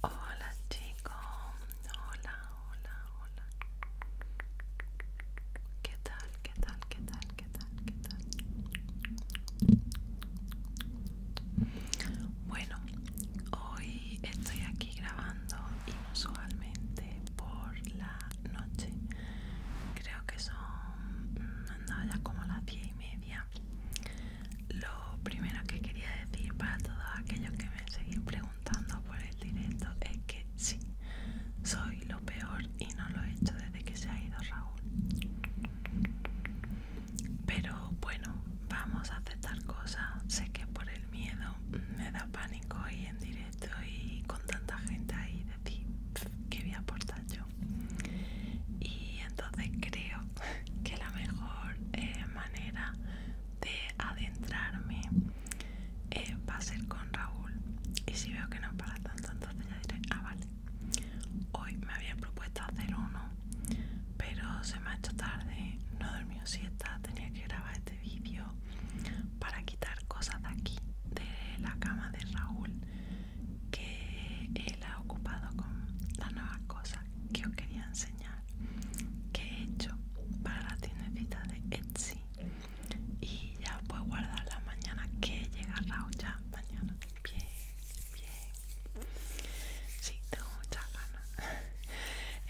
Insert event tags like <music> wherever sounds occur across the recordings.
Hola chicos, hola, hola, hola. ¿Qué tal? ¿Qué tal? ¿Qué tal? ¿Qué tal? ¿Qué tal? Bueno, hoy estoy aquí grabando inusualmente por la noche. Creo que son andaba mm, ya como las 10 y media. Lo primero que quería decir para todos aquellos que me siguen preguntando por el directo es que sí, soy lo peor y no lo he hecho desde que se ha ido Raúl. Pero bueno, vamos a aceptar cosas. Sé que por el miedo me da pánico y en directo y con tanta gente ahí decir que voy a aportar yo? Y entonces creo que la mejor eh, manera de adentrarme eh, va a ser con Raúl. Y si veo que no para tanto, entonces ya diré, ah, vale. Hoy me había propuesto hacer uno pero se me ha hecho tarde, no dormí dormido siesta, tenía que grabar este vídeo para quitar cosas de aquí, de la cama de Raúl, que él ha ocupado con las nuevas cosas que os quería enseñar, que he hecho para la tiendecita de Etsy y ya puedo guardar la mañana que llega Raúl ya mañana. Bien, bien. Sí, tengo muchas ganas.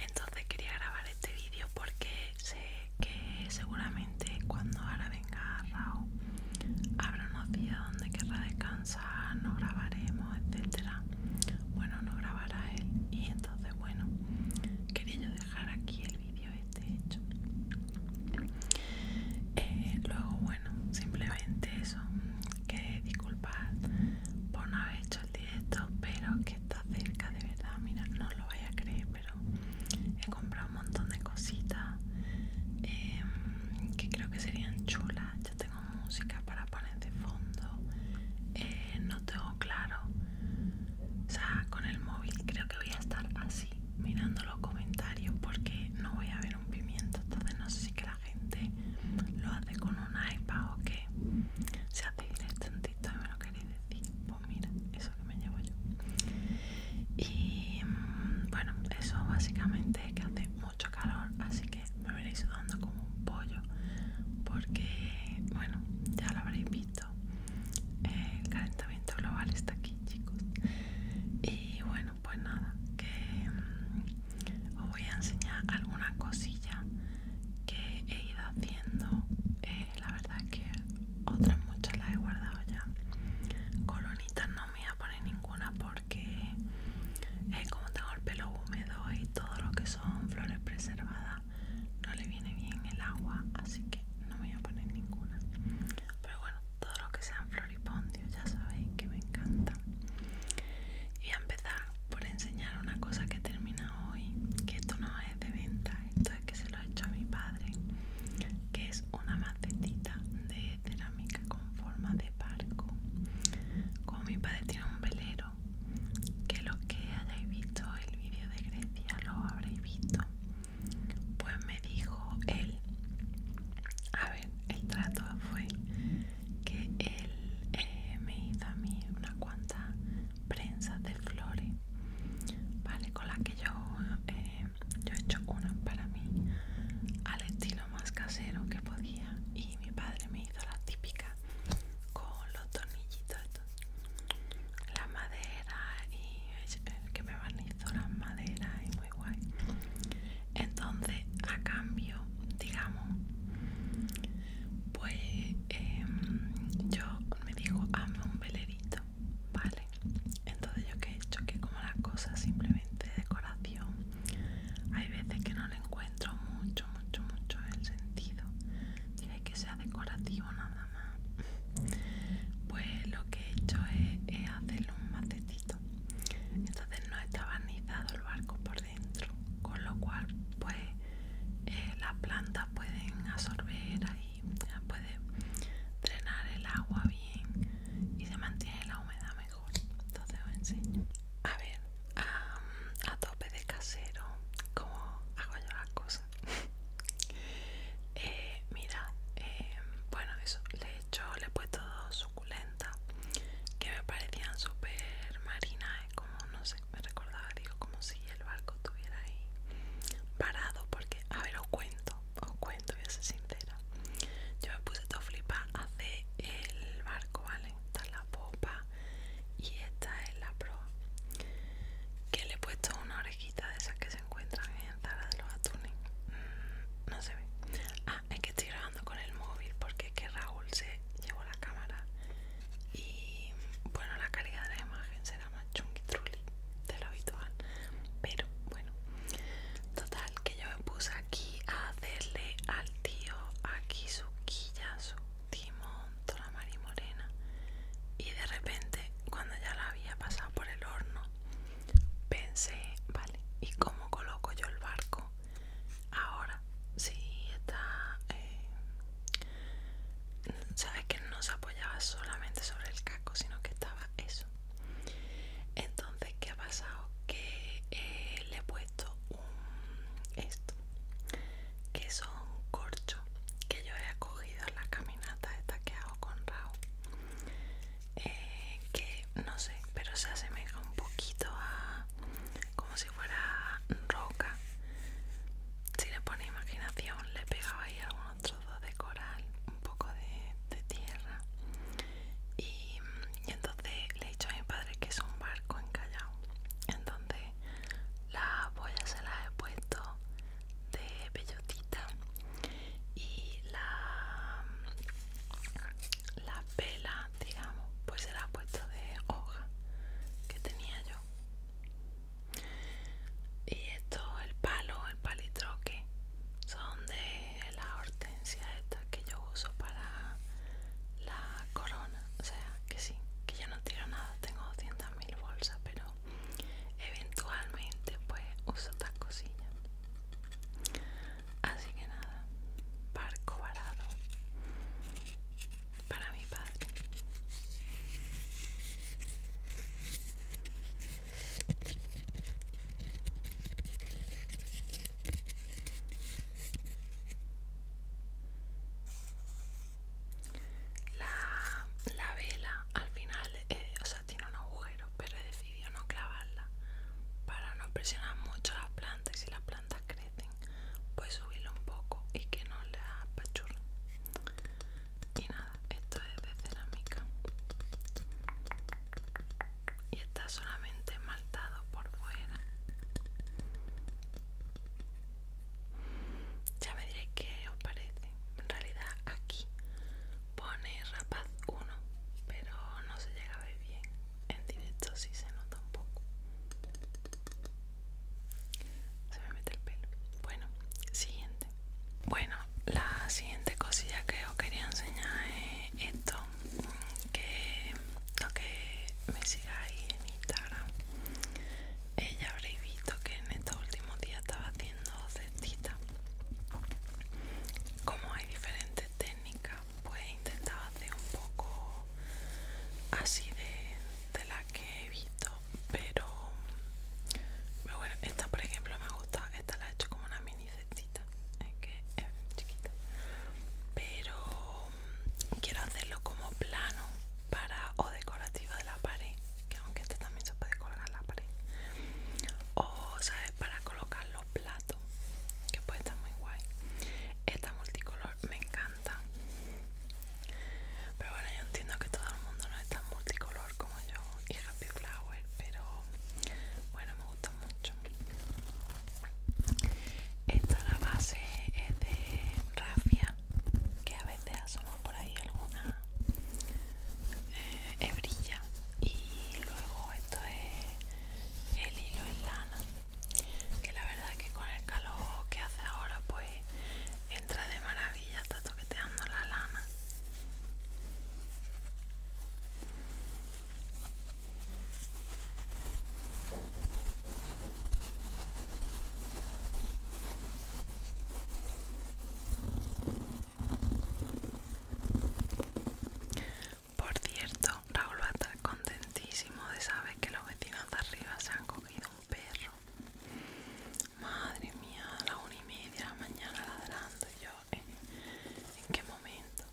Entonces quería grabar este vídeo porque sé que seguramente cuando ahora venga Raúl habrá unos días donde querrá descansar, no grabaremos, etcétera. Bueno, no grabará él y entonces bueno, quería yo dejar aquí el vídeo este hecho. Eh, luego bueno, simplemente eso, que disculpad por no haber hecho directo, pero que está cerca de verdad. Mira, no lo vais a creer, pero he comprado un montón de cositas em, que creo que serían chulas. Ya tengo música para poner de fondo. Eh, no tengo claro. O sea, con el móvil creo que voy a estar así, mirando los comentarios, porque no voy a ver un pimiento. Entonces, no sé si gente lo hace con un iPad o que se hace directantito y me lo queréis decir. Pues mira, eso que me llevo yo. Y mm, bueno, eso básicamente es que hace mucho calor, así que me veréis sudando como un pollo porque, bueno, ya lo habréis visto. El calentamiento global está aquí, chicos. Y bueno, pues nada, que mm, os voy a enseñar alguna cosilla que he ido haciendo. Eh, la verdad es que otras muchas las he guardado ya. Colonitas no me voy a poner ninguna porque es eh, como tengo el pelo húmedo y todo lo que son flores preservadas no le viene bien el agua, así que no me voy a poner ninguna. Pero bueno, todo lo que sean floripondios ya sabéis que me encanta. Y a empezar por enseñar una cosa que termina hoy, que esto no es de venta, esto es que se lo he hecho a mi padre, que es una macetita de cerámica con forma de barco. Como mi padre tiene un velero, que los que hayáis visto el vídeo de Grecia lo habréis visto, pues me dijo él, a ver, el trato fue que él eh, me hizo a mí una cuanta prensa de flores, ¿vale? Con la que yo, eh, yo he hecho una para mí al estilo más casero que podía y mi padre me hizo la típica con los tornillitos, la madera y eh, que me barnizó las madera y muy guay. Entonces, a cambio, digamos, pues em, yo me digo hazme un velerito vale entonces yo que he hecho que como las cosas simplemente decoración hay veces que no le encuentro mucho mucho mucho el sentido tiene que sea decorativo nada más pues lo que he hecho es, hacerle un macetito entonces no está barnizado el barco por con lo cual pues eh, las plantas pueden absorber ahí, puede drenar el agua bien y se mantiene la humedad mejor. Entonces os enseño. A ver, a, tope de casero, como hago yo las cosas. <laughs> Eh, mira, em, bueno, eso le he hecho, le he puesto dos suculentas que me parecían súper marinas, como no sé, me recordaba, digo, como si el barco estuviera ahí parado, porque, a ver, os cuento, os cuento, voy a ser sincera. Yo me puse todo flipa hace el barco, ¿vale? Esta es la popa y esta es la proa. Que le he puesto una orejita de esas que se encuentran en Zara de los Atunes. Mm, no se ve. Ah, es que estoy grabando con el móvil porque es que Raúl se llevó la cámara y bueno la calidad de la imagen será más chungitruli de lo habitual pero bueno total que yo me puse aquí a hacerle al tío aquí su quilla su timón toda mari morena y de repente cuando ya la había pasado por el horno pensé vale y cómo coloco yo el barco Ahora sí está. Eh, Sabes que no se apoyaba solamente sobre el casco, sino que estaba eso. Entonces, ¿qué ha pasado? Que eh, le he puesto un esto que son corcho que yo he cogido en la caminata esta que hago con Raúl eh, que no sé pero se asemeja un poquito a como si fuera roca. Si le pone imaginación, le pegaba ahí algunos trozos de coral, un poco de, tierra. Y, entonces le he dicho a mi padre que es un barco encallado. Entonces la boyas se la he puesto de bellotita y la, la pela digamos, pues era puesto de hoja que tenía yo. Y esto, el palo, el palitroque, son de la hortensia esta que yo uso para la corona. O sea, que sí, que ya no tiro nada, tengo 200.000 bolsas, pero eventualmente pues uso estas cosillas. Así que nada, barco varado para mi padre. La, vela al final, eh, tiene un agujero, pero he decidido no clavarla para no presionar mucho las plantas y las plantas crecen pues subirlo un poco y que no le apachurren y nada esto es de cerámica y está solamente esmaltado por fuera ya me diréis qué os parece en realidad aquí pone rapaz 1 pero no se llega a ver bien en directo si se nota un poco se me mete el pelo. Bueno, siguiente. Bueno, la siguiente cosilla que os quería enseñar es esto. Mm, que lo que me sigáis en Instagram. ya habréis visto que en estos últimos días estaba haciendo cestitas. Como hay diferentes técnicas, pues he intentado hacer un poco así de, de la que he visto, pero, bueno, esta por ejemplo me gusta, esta la he hecho como una mini cestita, es que es chiquita, pero quiero hacerlo como plano para o decorativo de la pared, que aunque este también se puede colgar la pared, o sabes para colocar los platos, que puede estar muy guay. Esta multicolor me encanta pero bueno yo entiendo que todo el mundo no es tan multicolor como yo y Happy Flower pero bueno me gusta mucho esta la base es de rafia que a veces asoma por ahí alguna eh, hebrilla y luego esto es el hilo en lana que la verdad que con el calor que hace ahora pues entra de maravilla, está toqueteando la lana. Por cierto, Raúl va a estar contentísimo de saber que los vecinos de arriba se han cogido perro. Madre mía, a la una y media de la mañana ladrando. Yo, ¿eh? ¿en qué momento?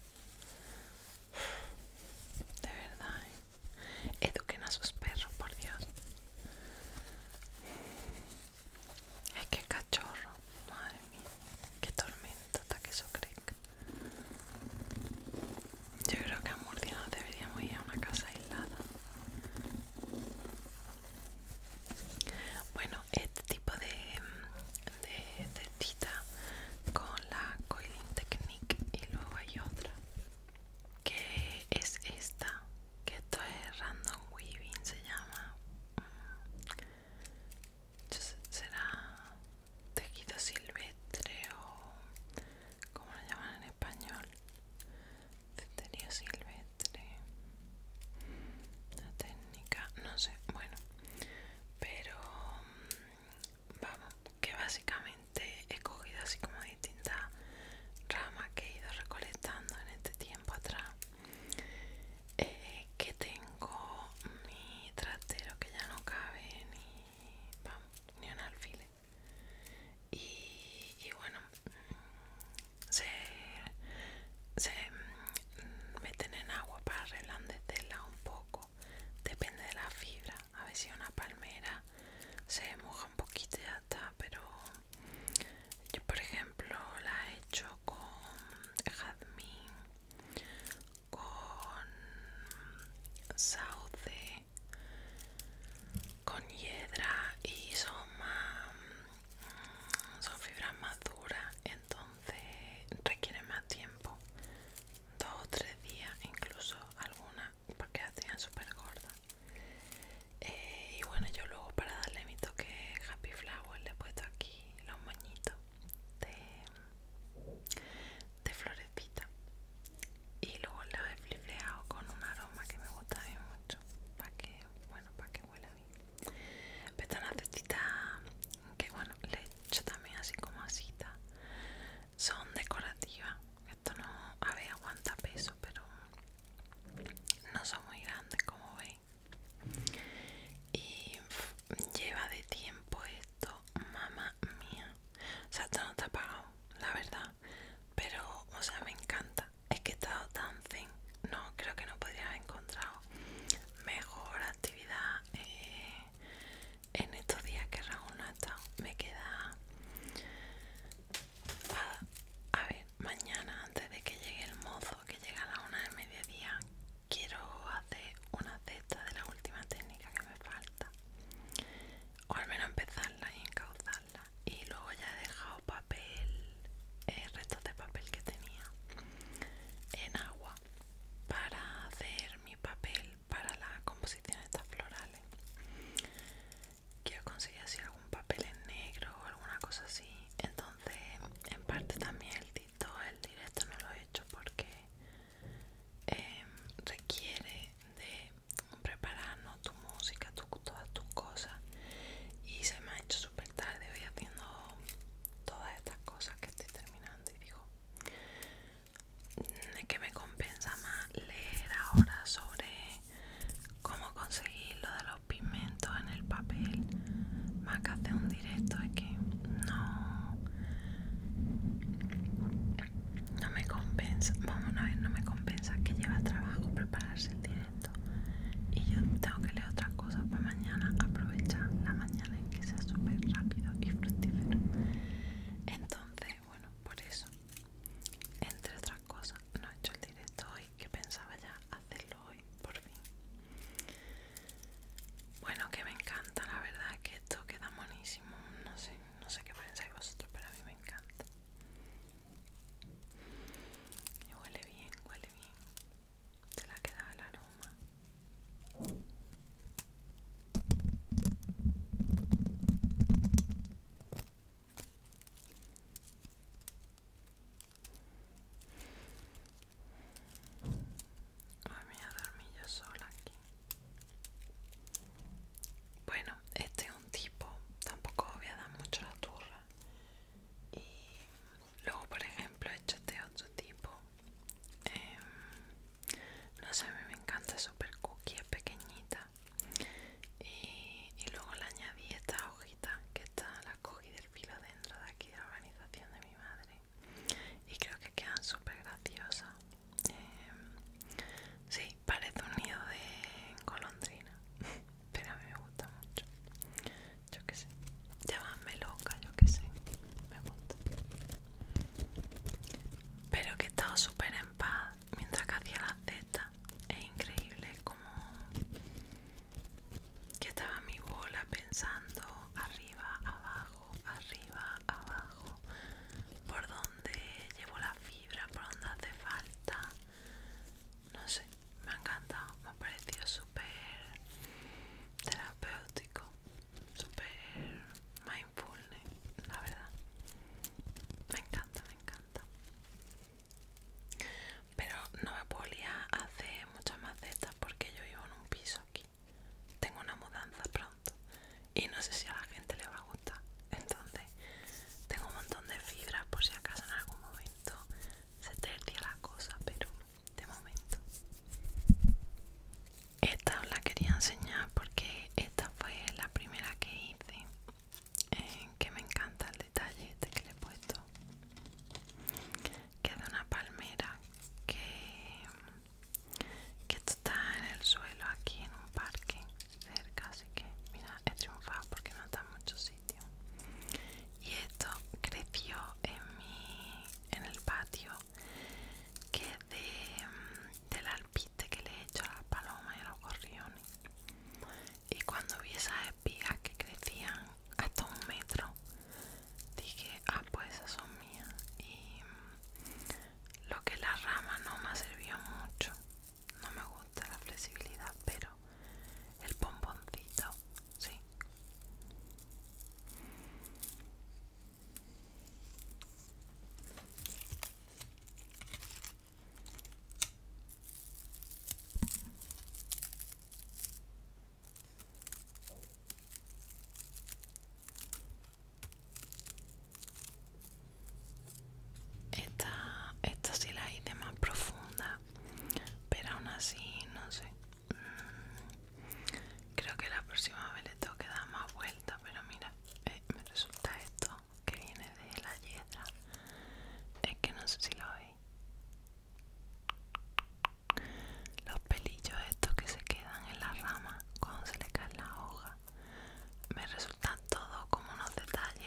De verdad, ¿eh? eduquen a sus perros, por Dios. Es que cachorro, madre mía, qué tormenta hasta que eso yo creo que a Murcia no deberíamos ir a una casa aislada. Bueno, este tipo de, de con la Coiling Technique y luego hay otra que es esta, que esto es Random Weaving, se llama. Mm, será tejido silvestre o ¿Cómo lo llaman en español? Cetería silvestre. La técnica, no sé, bueno. Pero mm, vamos, que básicamente he cogido así como distintas ramas que he ido recolectando en este tiempo atrás. Eh, que tengo mi trastero que ya no cabe ni, ni un alfiler y, bueno se, se meten en agua para arreglar un poco depende de la fibra a ver si una palmera se moja un poquito y ya está pero yo por ejemplo la he hecho con jazmín con sauce con hiedra y son más, mm, son fibras más duras entonces requieren más tiempo dos o tres días incluso algunas porque hacían súper gordas eh, y bueno yo luego para darle mi toque happy flower le he puesto aquí los moñitos de, de florecita y luego lo he flifleado con un aroma que me gusta bien mucho para que bueno para que huela bien pero esta que bueno le he hecho también así como asita son decorativas esto no a ver aguanta peso pero no son muy grandes como veis y lleva de tiempo esto mamá mía o sea esto no está pagado la verdad pero, o sea, me encanta. Es que he estado tan zen, No, creo que no podría haber encontrado mejor actividad eh, en estos días que Raúl ha estado. Me queda. A, ver, mañana antes de que llegue el mozo, que llega a la una del mediodía, quiero hacer una cesta de la última técnica que me falta. O al menos empezarla y encauzarla y luego ya he dejado papel eh, restos de papel que tenía en agua para hacer mi papel para composición de estas florales quiero conseguir así algún papel en negro o alguna cosa así entonces en parte también el TikTok, el directo no lo he hecho porque em, requiere de preparando tu música, todas tus cosas. Y se me ha hecho súper tarde hoy haciendo todas estas cosas que estoy terminando. Y digo, mm, es que me compensa más leer ahora sobre cómo conseguir lo de los pigmentos en el papel. Más que hacer un directo, es que no no me compensa, vamos a ver, no me compensa que lleva trabajo prepararse el directo y yo tengo que leer otras cosas para mañana, aprovechar la mañana en que sea súper rápido y fructífero. Entonces, bueno, por eso, entre otras cosas, no he hecho el directo hoy, que pensaba ya hacerlo hoy, por fin. Bueno, que me encanta, la verdad que esto queda buenísimo no sé, no sé qué pensáis vosotros, pero a mí me encanta. Y huele bien, huele bien. Se la quedaba el aroma. Ay, a dormir yo sola aquí. Bueno, este tipo, tampoco voy a dar mucho la turra. Y luego, por ejemplo, este otro tipo. Em, no sé, a mí me encanta súper Cookie, es pequeñita. Y, luego le añadí esta hojita que está la cogí del filo dentro de aquí de la organización de mi madre. Y creo que quedan súper graciosas. Em, sí, parece un nido de colondrina, <laughs> pero a mí me gusta mucho. Yo qué sé, llámame loca, yo qué sé, me gusta. Pero que he estado súper en paz mientras que hacía la zeta Es increíble como que estaba mi bola pensando arriba, abajo, arriba, abajo, por dónde llevo la fibra, por dónde hace falta no sé, me ha encantado, me ha parecido súper terapéutico, súper mindfulness, la verdad. Me encanta, me encanta. Pero no me podía hacer muchas macetas porque yo vivo en un piso aquí. Tengo una mudanza pronto y no sé si a la gente le va a gustar. Entonces, tengo un montón de fibras por si acaso en algún momento se tercia la cosa, pero de momento. Esta os la quería enseñar porque esta fue la primera que hice. Eh, que me encanta el detalle este que le he puesto. Que es de una palmera que está en el suelo aquí en un parque cerca así que mira he triunfado porque no está en muchos sitios y esto creció en mi en el patio que de, mm, del alpiste que le he hecho a las palomas y a los gorriones y cuando vi esas espigas que crecían hasta un metro dije ah pues esas son mías y mm, lo que la rama no me ha servido mucho no me gusta la flexibilidad, pero el pomponcito, sí. Esta, esta sí la hice más profunda, pero aún así, no sé. Mm, creo que la próxima vez le tengo que dar más vuelta, pero mira, eh, me resulta esto que viene de la hiedra. Es que no sé si lo veis. Los pelillos estos que se quedan en la rama cuando se le cae la hoja. Me resultan todo como unos detalles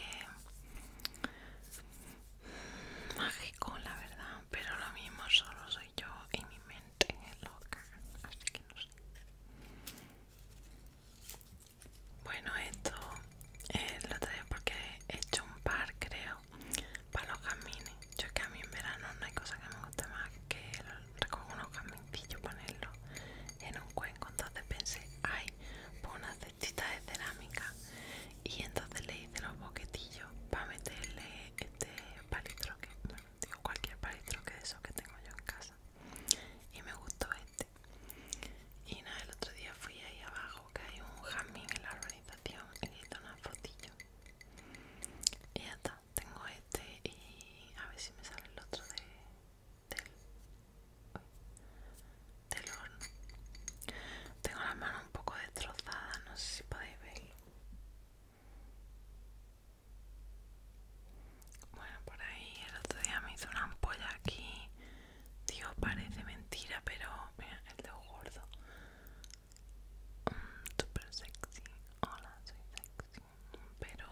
mágico, la verdad, pero lo mismo solo soy yo y mi mente loca, así que no sé. Bueno, esto eh, lo traigo porque he hecho un par, creo, para los caminos Yo es que a mí en verano no hay cosa que me guste más que recoger unos jazmincillos, ponerlos en un cuenco. Entonces pensé, ay, puedo de cerámica y entonces le hice los boquetillos para meterle este palitroque, digo cualquier palitroque de esos que tengo yo en casa y me gustó este y nada, el otro día fui ahí abajo que hay un jazmín en la organización y hice una fotillo y ya está, tengo este y a ver si me sale el otro de del, horno. Tengo la mano un poco destrozada, no sé si podéis verlo. Bueno, por ahí el otro día me hizo una ampolla aquí. Digo, parece mentira, pero mira, el un gordo. Mm, super sexy. Hola, soy sexy. Pero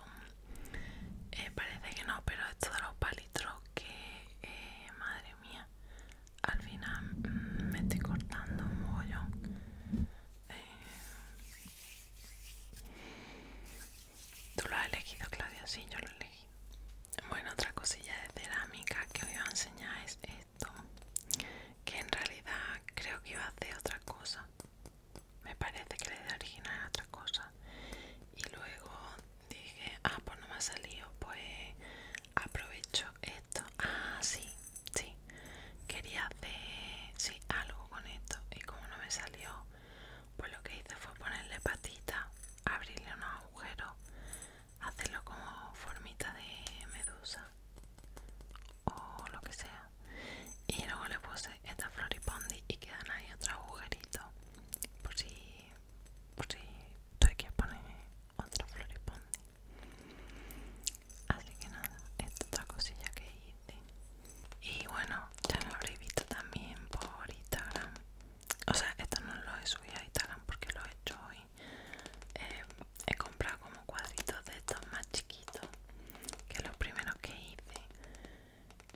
eh, parece que no, pero esto de los palitros que, eh, madre mía, al final mm, me estoy cortando un mogollón. Eh, tú lo has elegido, Claudia, sí, yo lo he elegido Bueno, otra cosilla de cerámica que os iba a enseñar es esto, que en realidad creo que iba a hacer otra cosa. Me parece que la idea original otra cosa. Y luego dije, ah, pues no me ha salido, pues aprovecho esto. Ah, sí, sí, quería hacer sí, algo con esto y como no me salió, pues lo que hice fue ponerle patita, abrirle unos agujeros, hacerlo como formita de medusa o lo que sea. Y luego le puse esta floripondi y quedan ahí otros agujeritos por si por si hay que poner otro floripondio así que nada esta otra cosilla que hice y bueno ya lo habréis visto también por instagram o sea esto no lo he subido a instagram porque lo he hecho hoy eh, he comprado como cuadritos de estos más chiquitos que los primeros que hice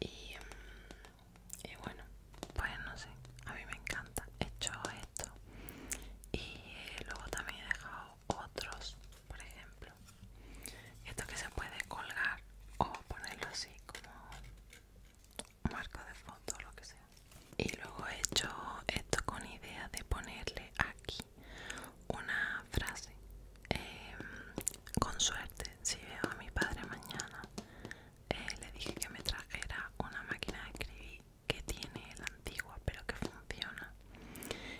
y mm, y bueno pues no sé a mí me encanta he hecho esto y eh, luego también he dejado otros por ejemplo esto que se puede colgar o ponerlo así como marco de foto o lo que sea y luego he hecho esto con idea de ponerle aquí una frase em, con suerte si veo a mi padre mañana eh, le dije que me trajera una máquina de escribir que tiene la antigua pero que funciona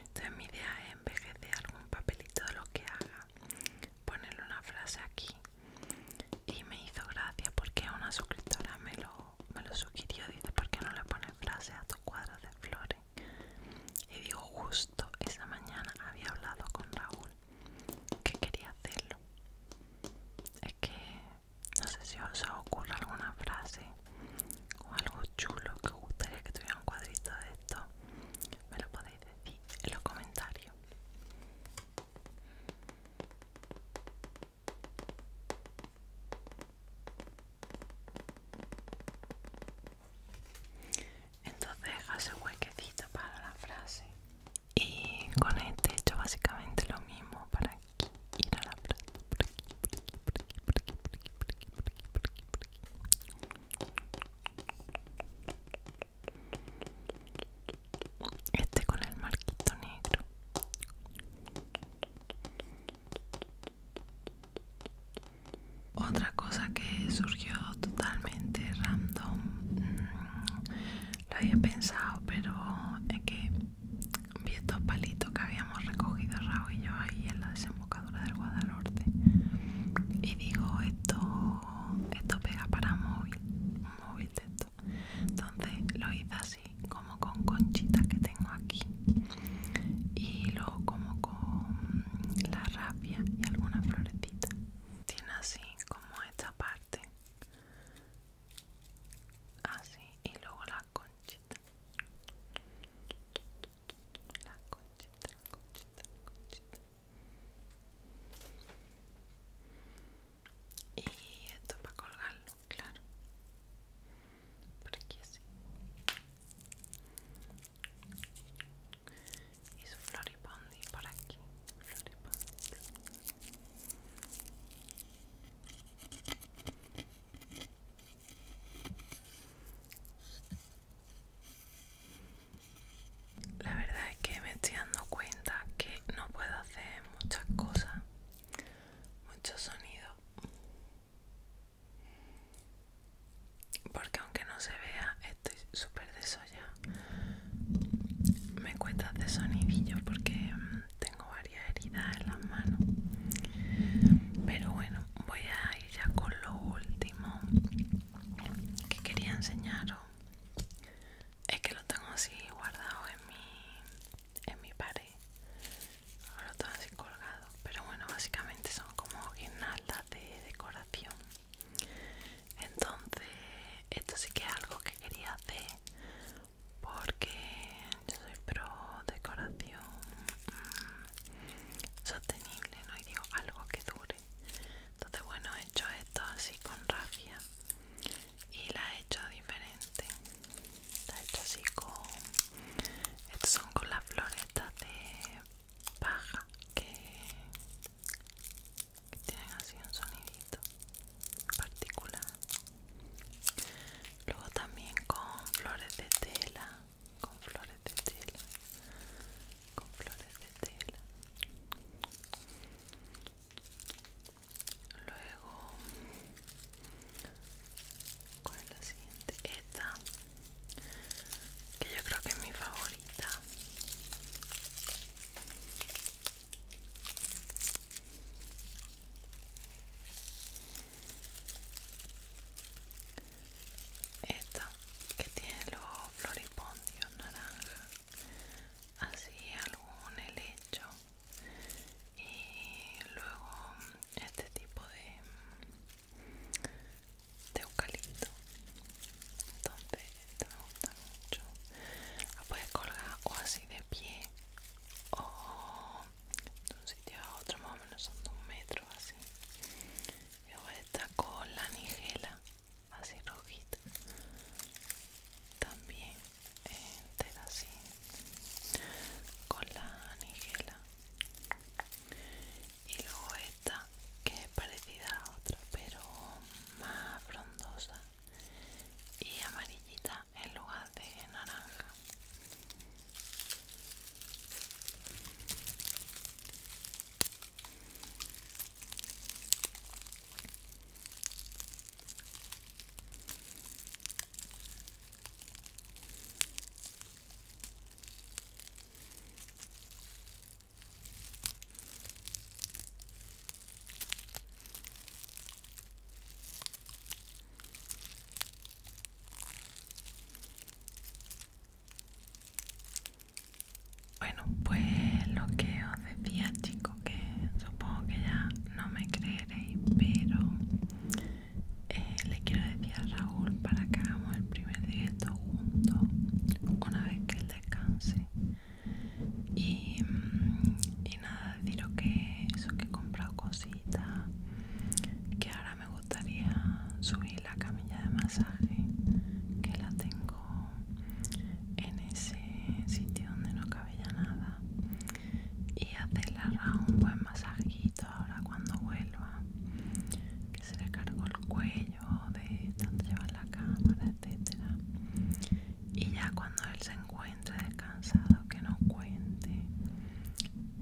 entonces mi idea es en algún papelito de lo que haga ponerle una frase aquí y me hizo gracia porque una suscriptora me lo, me lo sugirió dice ¿por qué no le pones frase a tus cuadros de flores? y digo justo esa mañana había hablado con Raúl que quería hacerlo. Es que no sé si os ocurre alguna frase o algo chulo que os gustaría que tuviera un cuadrito de esto. Me lo podéis decir en los comentarios. Entonces hace un huequecito para la frase y con este hecho básicamente lo mismo para ir a la playa por aquí, por aquí, por aquí, por aquí, por aquí, por aquí. Este con el marquito negro. Otra cosa que surgió totalmente random mm, lo había pensado, pero es que vi estos palitos que habíamos recogido Raúl y yo ahí en la desembocadura del Guadalhorte. Y digo, esto, esto pega para móvil, un móvil de esto. Entonces lo hice así, como con conchitas que tengo aquí. Y luego como con la rapia y alguna florecita. Tiene así como esta parte así y luego la conchita la conchita la conchita la conchita y esto para colgarlo claro por aquí así y su floripondi por aquí floripondi la verdad es que me estoy dando cuenta que no puedo hacer muchas cosas, mucho sonido, porque aunque no se vea, estoy súper desollada me cuesta hacer sonidillo porque mm, tengo varias heridas en las manos pero bueno voy a ir ya con lo último que quería enseñaros es que lo tengo así guardado en mi en mi pared lo tengo así colgado pero bueno básicamente son como guirnaldas de decoración entonces esto sí que es algo que quería hacer porque yo soy pro decoración mm, sostenible, ¿no? Y digo algo que dure. Entonces, bueno, he hecho esto así con rafia y la he hecho diferente. La he hecho así con. Estos son con las floretas de paja que que tienen así un sonidito particular luego también con flores de tela con flores de tela con flores de tela luego Con la siguiente esta que yo creo que es mi favorita esta que tiene los floripondios naranja, así algún helecho y luego este tipo de, eucalipto. Entonces, esta me gusta mucho. La puedes colgar o así de pie o de un sitio a otro más o menos son de un metro así Luego esta con la nigela así rojita también entera así con la nigela y luego esta que es parecida a otra pero más frondosa y amarillita el lugar de naranja bueno, pues lo que os decía chicos, que supongo que ya no me creeréis, pero eh, le quiero decir a Raúl para que hagamos el primer directo juntos una vez que él descanse y, nada, deciros que eso que he comprado cositas que ahora me gustaría subir la camilla de masaje que la tengo en ese sitio donde no cabella nada y hacerla un buen masajito ahora cuando vuelva que se le cargó el cuello de donde llevar la cámara etcétera y ya cuando él se encuentre descansado que nos cuente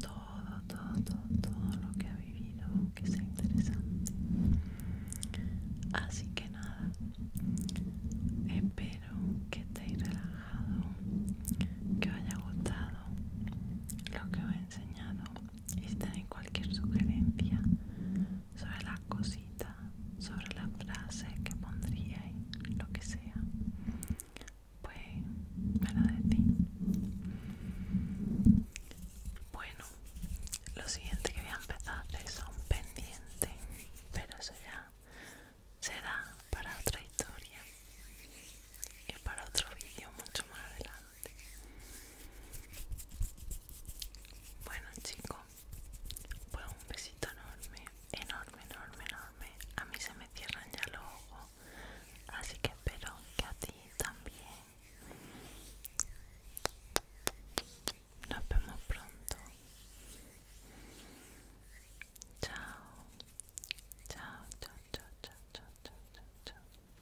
todo, todo, todo, todo lo que ha vivido que sea interesante así que nada espero que estéis relajado que os haya gustado lo que os he enseñado y si tenéis cualquier sugerencia sobre las cositas sobre la frase que pondría y lo que sea pues me de ti bueno lo siguiente que voy a empezar a hacer es pendiente pero eso ya será para otra historia y para otro vídeo mucho más adelante bueno chicos pues un besito enorme enorme, enorme, enorme. A mí se me cierran ya los ojos, así que espero que a ti también. Nos vemos pronto. Chao, chao, chao, chao, chao, chao, chao, chao. chao.